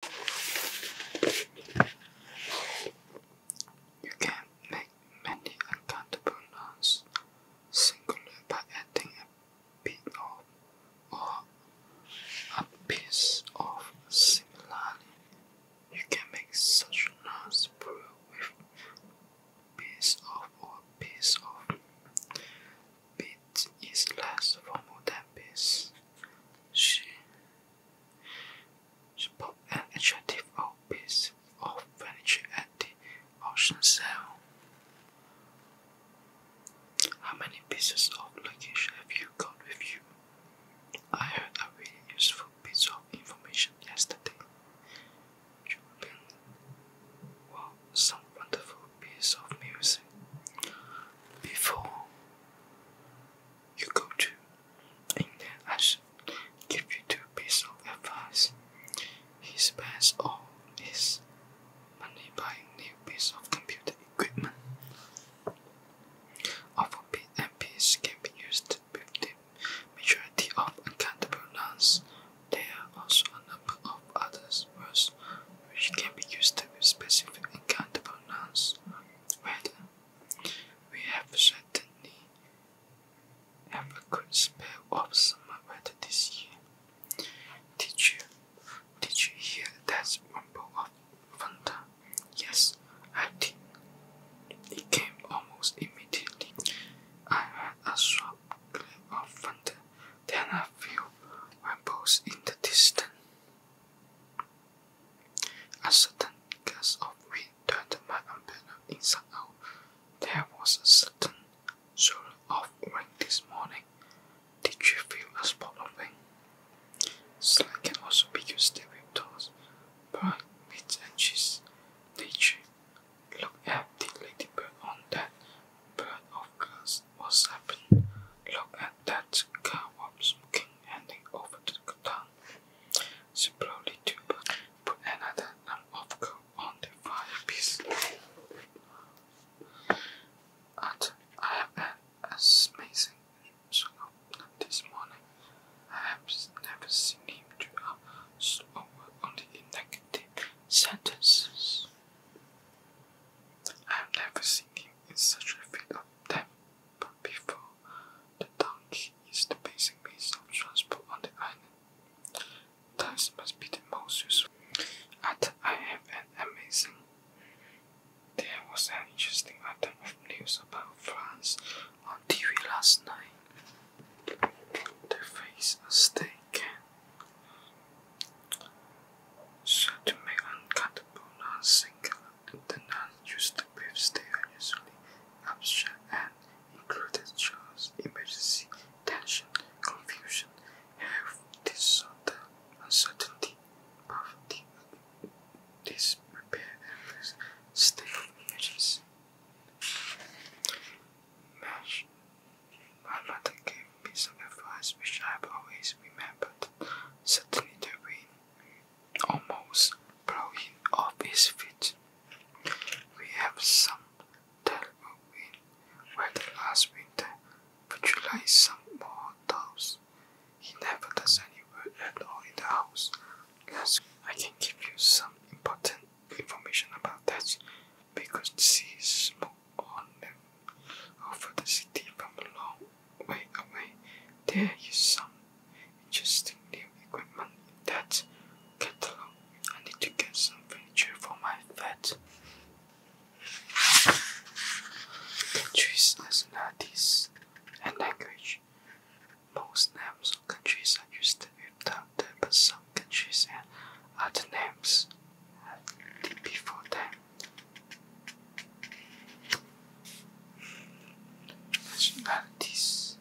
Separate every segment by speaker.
Speaker 1: You can make many uncountable nouns singular by adding a bit of or a piece of similarly. You can make such nouns plural with piece of or piece of. Bit is less formal than piece. She she an attractive old piece of furniture at the auction sale. How many pieces of luggage have you got with you? I heard a really useful piece of information yesterday. Julian, well, some wonderful piece of music. Before you go to. And then I should give you two pieces of advice. He spends all his money buying new pieces of computer equipment. Of bit can be used with majority of uncountable nouns. There are also a number of other words which can be used with specific uncountable nouns. Madam, we have certainly had a good spell of summer weather this year. Did you, did you hear that rumble of thunder? Yes, I did. It came almost immediately. I heard a sharp clap of thunder, then a few rumbles in the distance. A sudden gust of wind turned my umbrella inside out. There was a sudden swirl of rain this morning. Did you feel a spot of rain? Slime can also be used to whip toss, bright meat and cheese. Nature. Look at the ladybird on that bird of glass what's happened. Look at that car was smoking, handing over to the gun. She probably too put another lump of coal on the firepiece. And I have an amazing swing up this morning. I have never seen him do a slower only in negative sentences. I have never seen him in such a fit of temper but before the donkey is the basic means of transport on the island. Thus must be the most useful. After I have an amazing there was an interesting item of news about France on TV last night. They face a steak can so to singular the nuns used to briefs they are usually abstract and included child's emergency, tension, confusion, health, disorder, uncertainty, poverty, disrepair, and state of emergency. Mesh. My mother gave me some advice which I have always remembered. Certainly the rain almost blow him off his feet. We have some terrible wind weather last winter. Would you like some more dolls? He never does any work at all in the house. Yes, I can give you some important information about that. We could is more on them over the city from a away, oh, away. Oh, there, some interesting new equipment in that catalog. I need to get some furniture for my bed. Countries, nationalities, and language. Most names of countries are used without the but some countries and other names before them. Nationalities.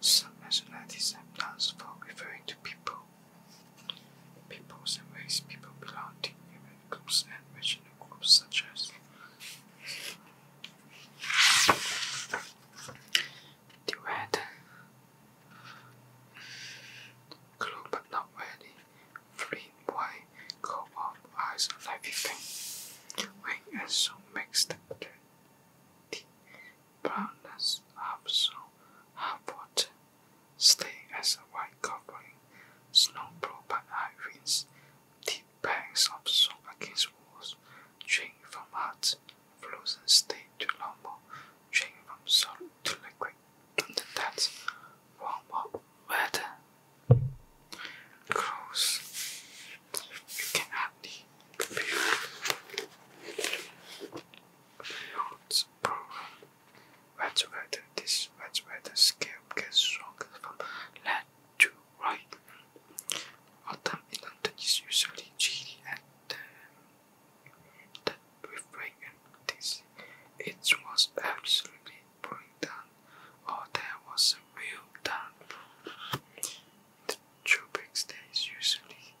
Speaker 1: Some nationalities are nouns for referring to people. Peoples and ways people belong to human groups and regional groups such as the red, blue but not ready, Free white coat of eyes like pink, wing and so mixed the deep brownness of so have water, stay as a white covering, snow blow by high winds, deep banks of snow against walls, drain from hearts. frozen state to normal, drain from solid to liquid, that's warm weather. Gross. You can hardly feel it's proven. Wet weather. This wet weather scale gets stronger from left to right. Autumn in London is usually chilly and um, with vacancies. It was absolutely pouring down, or there was a real downpour. The tropic days usually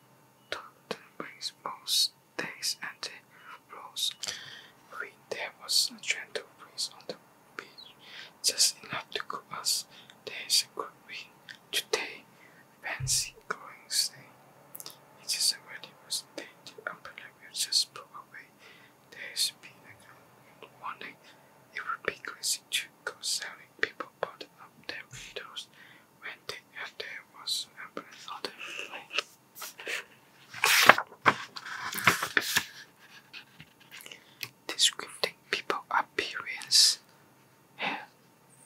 Speaker 1: Thompson brings most days and it rose when there was a gentle breeze on the beach, just enough to cool us. There's a good wind today, fancy going stay. It is a very pleasant day to we will just pull away. There has been a warning. It would be crazy to go selling people bottom up their windows when they after there was an another flame. Descripting people appearance, hair,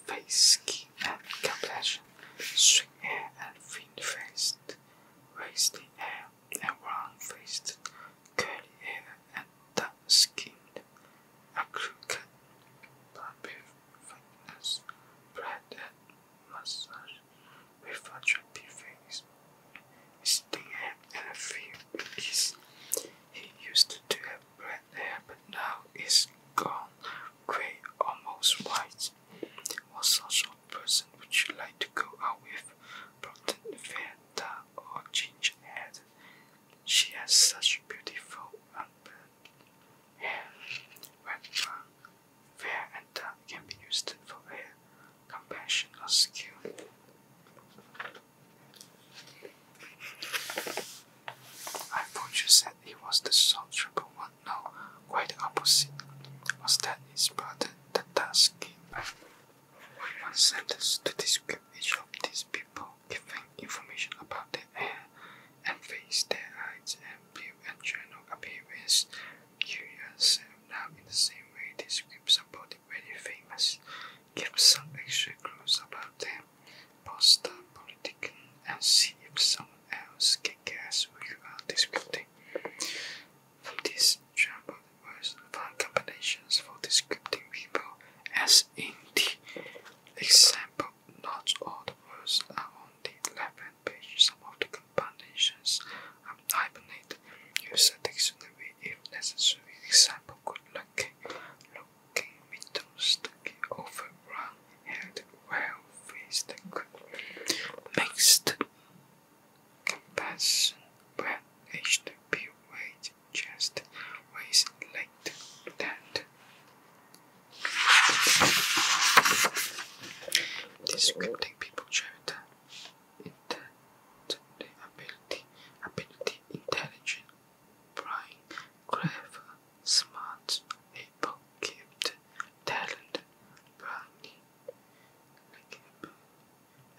Speaker 1: face, skin and complexion, sweet and thin face, wasted hair, and round face, curly hair, and dark-skinned, acute but perfectness, bread and massage, with a chubby face, sitting and a few He used to have black hair, but now it's gone grey, almost white. Was such person would you like to go out with? prompted or Ginger She has such beautiful unburned hair. When wrong, fair and dark can be used for hair, compassion, or skill. I thought you said he was the sole trouble now, quite the opposite was that his brother the task one sentence to describe each of these people, giving information about their hair and face, their height and build and general appearance. You yourself now in the same way describe somebody very famous, give some extra clues about them, post the politician and see if someone else can guess who you are describing. From this there was found combinations for describing people, as in the example, not all the words are on the left page. Some of the combinations are hyphenated. Use a dictionary if necessary. Example: good looking, looking, middle, stucking, overrun, head well faced makes the comparison when HTP weight just weighs like that. Descripting people chapter the ability, ability, intelligent, bright, clever, smart, able, gifted, talented, brownie, the campaign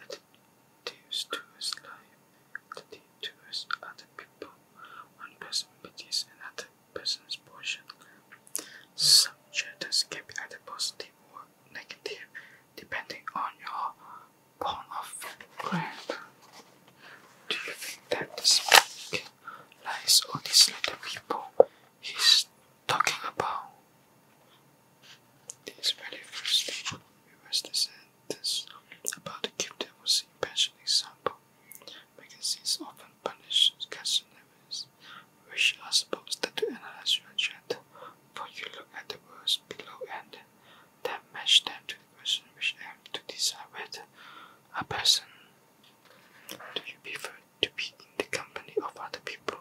Speaker 1: attitudes towards life, attitudes towards other people, one person's business and person's portion. Some judges can be either positive or negative, depending on your point of grant. Do you think that this man lies or these little people? His talking about. This very first thing was the sentence about the gift that was in passion example. Magazines often publish custom which are supposed to analyze your agenda, for you look at the words below and then match them to the question which aims to decide whether a person do you prefer to be in the company of other people.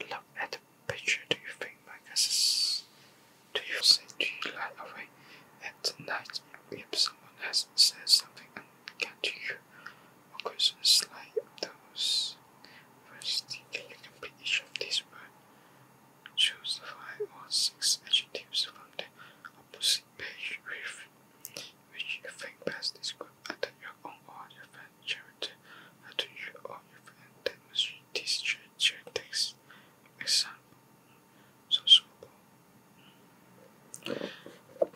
Speaker 1: Look at the picture. Do you think my glasses? Do you Do you lie awake at night if someone has said something and unkind to you? Or questions like those. First, can you complete each of these words? Choose five or six adjectives from the opposite page with which you think best is good either your own or your friend charity to you or your friend demonstrate these characteristics. Example sociable.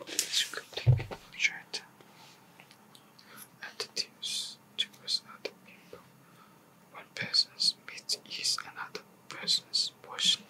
Speaker 1: Descriptive character attitudes towards other people. One person's meat is another person's poison.